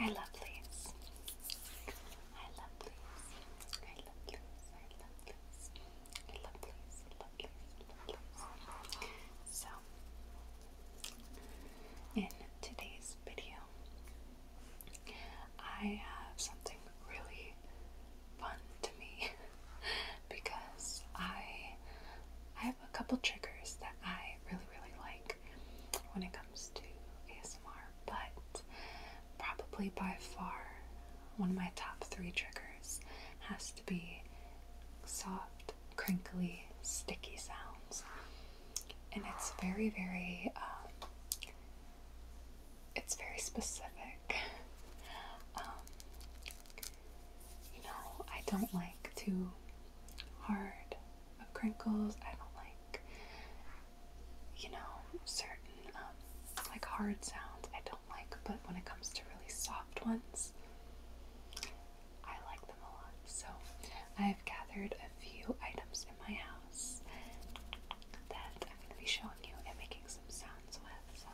I love leaves. I love leaves. I love leaves. I love leaves. I love leaves. love leaves. love leaves. So, in today's video, I have something really fun to me. because I I have a couple triggers that I really really like when it comes to ASMR, but probably by far one of my top three triggers has to be soft, crinkly, sticky sounds, and it's very very um, it's very specific. Um, you know, I don't like too hard crinkles. I don't like, you know, certain um, like hard sounds. I don't like, but when it comes to really soft ones, I like them a lot. So I've gathered a few items in my house that I'm going to be showing you and making some sounds with. So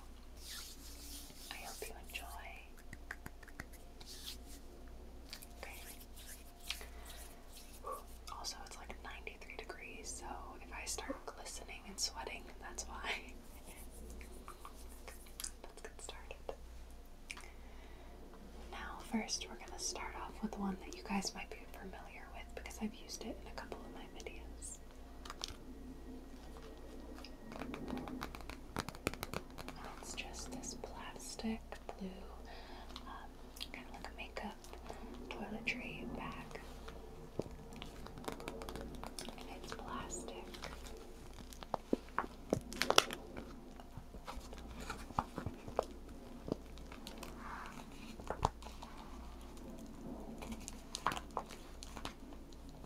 I hope you enjoy. Also, it's like 93 degrees, so if I start glistening and sweating, that's why. Let's get started. Now, first, we're going to start off with one that you guys might be familiar with because I've used it in a couple of my videos it's just this plastic blue, um, kind of like a makeup toiletry bag. it's plastic.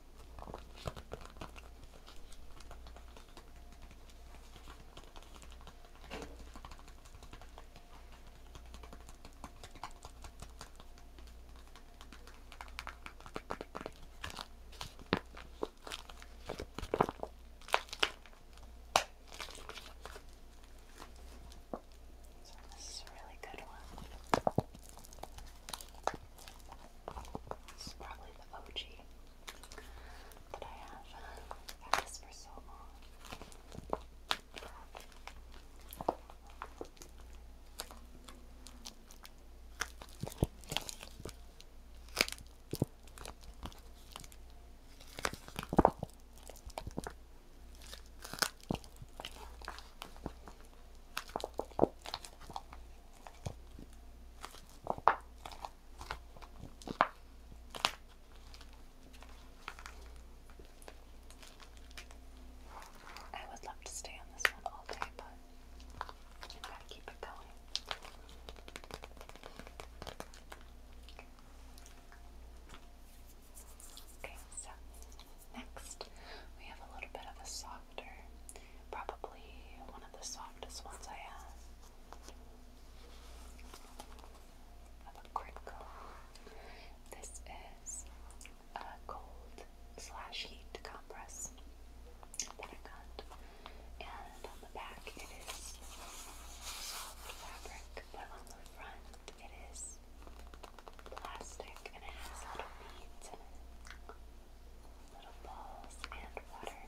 So this is a really good one. This is probably the OG that I have. I've had this for so long. I I would love to stay on this one all day, but you gotta keep it going. Okay, so next we have a little bit of a softer, probably one of the softest ones I have. Of a crinkle. This is a cold slash heat compress that I got, and on the back it is soft fabric, but on the front it is plastic and it has little beads in little balls, and water.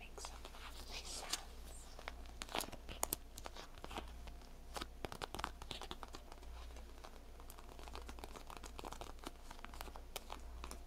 Make some nice sounds.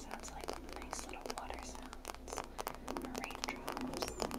Sounds like nice little water sounds. Raindrops.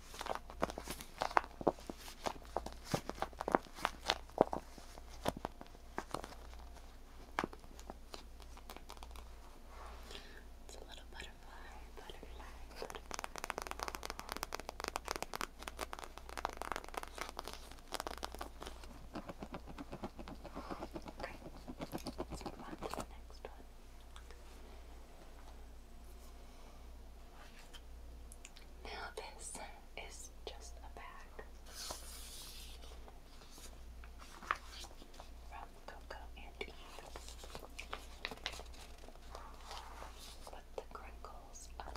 It's a little butterfly, butterfly, butterfly. Okay, let's move on to the next one. Now, this is just a bag from Coco and Eve with the crinkles up.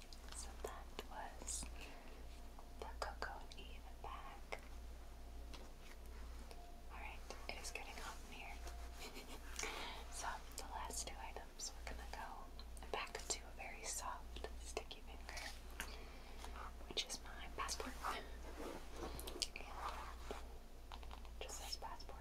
So that was the Coco and Eve back. Alright, it is getting hot here. so, the last two items, we're gonna go back to a very soft, sticky finger, which is my passport. just says passport.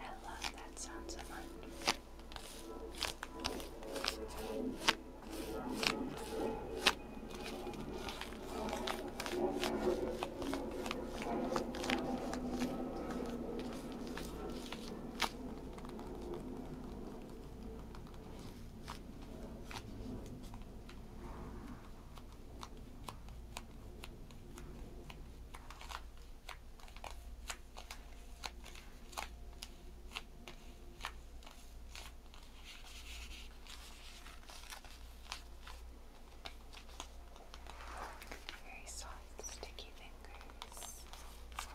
I love that sound so much. I very soft, sticky fingers. Very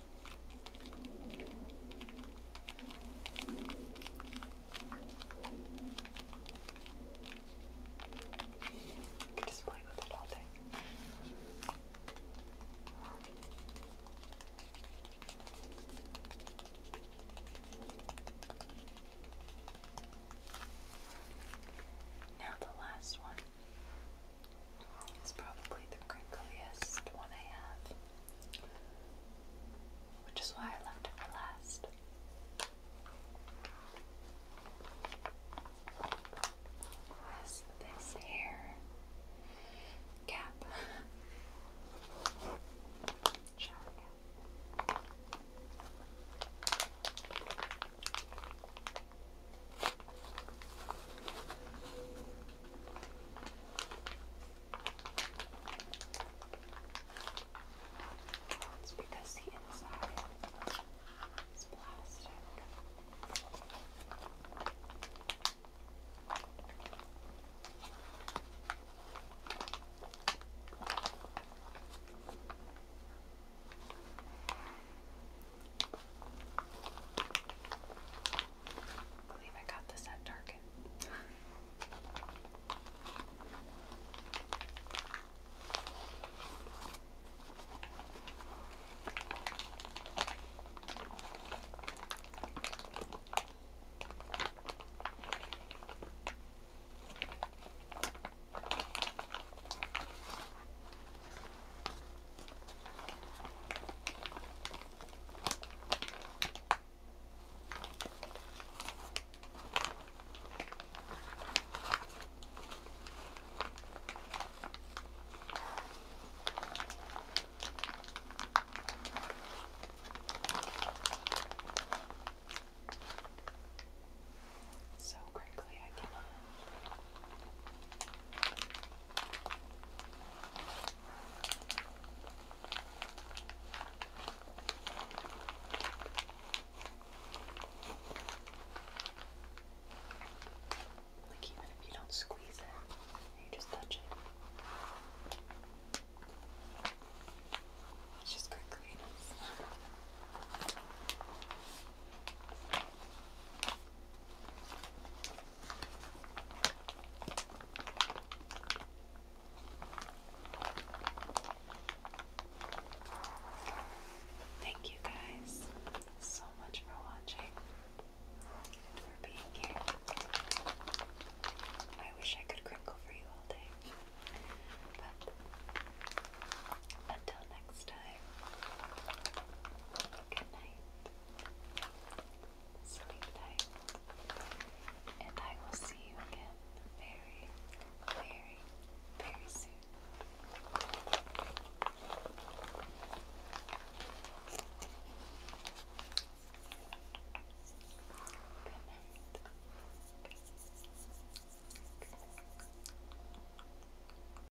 You can just play with it all day. Now the last one is probably the crinkliest one I have, which is why I left it for last. Is this hair cap? Shower it's because the inside is plastic. I believe I got this at Target. So quickly I cannot like even if you don't squeeze it, you just touch it. It's just good cleaners. Thank you guys so much for watching for being here. I wish I could crinkle for you all day. But until next time, good night, sleep tight, and I will see you again very, very, very soon. Good night.